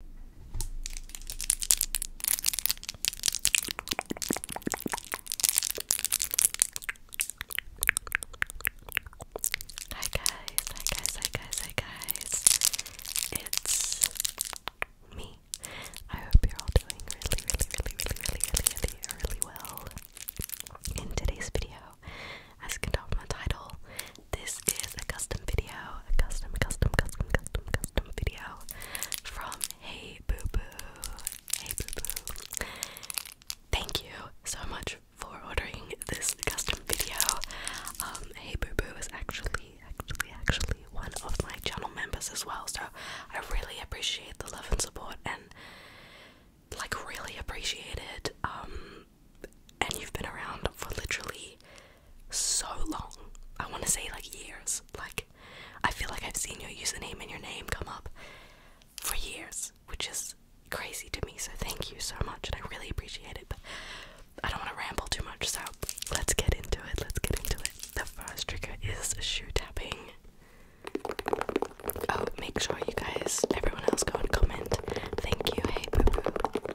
Hi guys, hi guys, hi guys, hi guys. It's me. I hope you're all doing really, really, really, really, really, really, really, really well. In today's video, as can tell from the title, this is a custom video, a custom, custom, custom, custom, custom video from Hey Boo Boo. Hey Boo Boo. Thank you so much for ordering this custom video. Um, hey Boo Boo is actually, actually, actually one of my channel members as well, so I really appreciate the love and support and like really appreciate it. Um, and you've been around for literally so long. I want to say like years. Like, I feel like I've seen your username and your name come up for years, which is crazy to me. So, thank you so much, and I really appreciate it. But I don't want to ramble too much, so let's get into it. Let's get into it. The first trigger is shoe tapping. Oh, make sure you guys, everyone else, go and comment. Thank you. Hey, boo boo.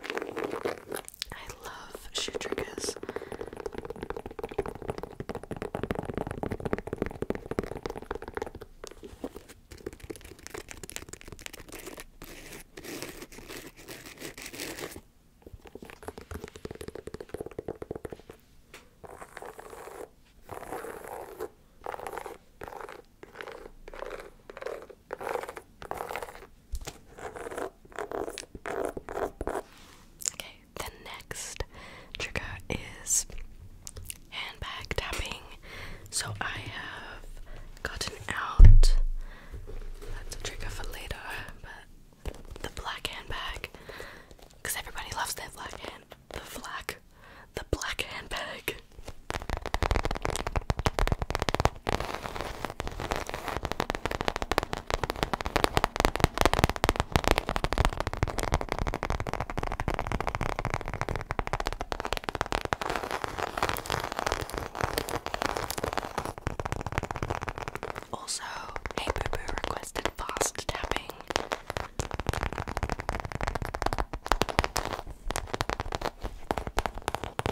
I love shoe triggers. Okay, the next trigger is handbag tapping. So I have gotten out that's a trigger for later, but the black handbag. Because everybody loves their black hand the black the black handbag. Also, hey boo boo requested fast tapping.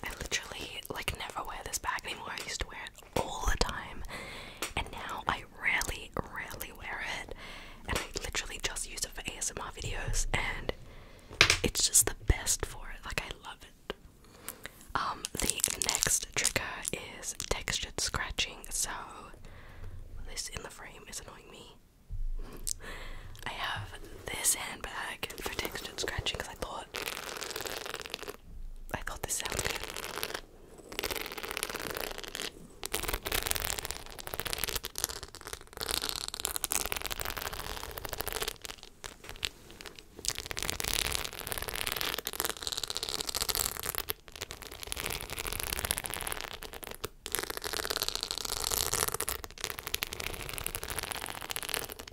I literally like never wear this bag anymore. I used to wear it all the time, and now I rarely, rarely wear it, and I literally just use it for ASMR videos, and it's just the best for it. Like I love it. Um, the next trigger is textured scratching. So this in the frame is annoying me. I have this handbag for textured scratching because I thought thought I thought this sounded good.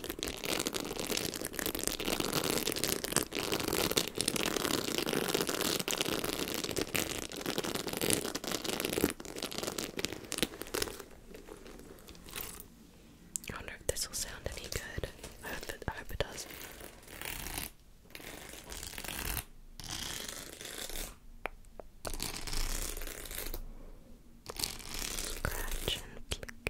I wonder if this will sound any good. I hope it, does. Scratch and flick.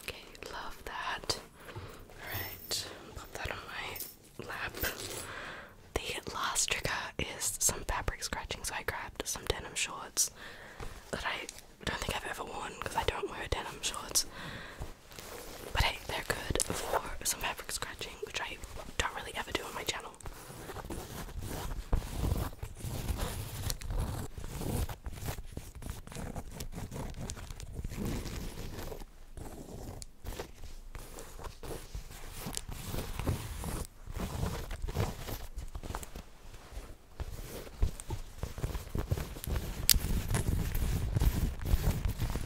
Okay, love that. Alright, pop that on my lap. The last trigger is some fabric scratching, so I grabbed some denim shorts that I don't think I've ever worn because I don't wear denim shorts. But hey, they're good for some fabric scratching which I don't really ever do on my channel.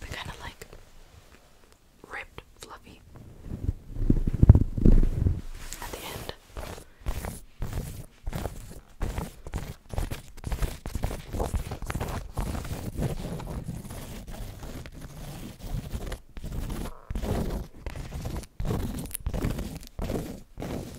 they kind of like ripped, fluffy at the end.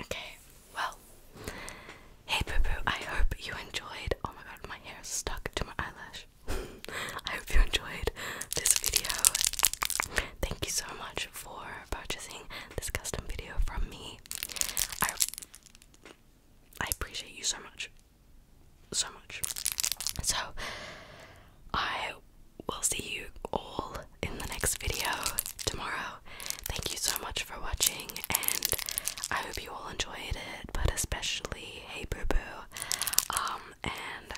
Okay, well, hey Boo I hope you enjoyed. Oh my god, my hair stuck to my eyelash. I hope you enjoyed this video. Thank you so much for purchasing this custom video from me. I I appreciate you so much. So much. So I we will see you all in the next video tomorrow. Thank you so much for watching, and I hope you all enjoyed it, but especially Hey Boo Boo. Um, and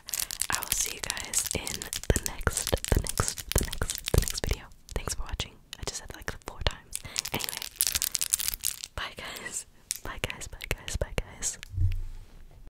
I will see you guys in the next, the next, the next, the next video. Thanks for watching. I just said like four times. Anyway, bye guys. Bye guys, bye guys, bye guys.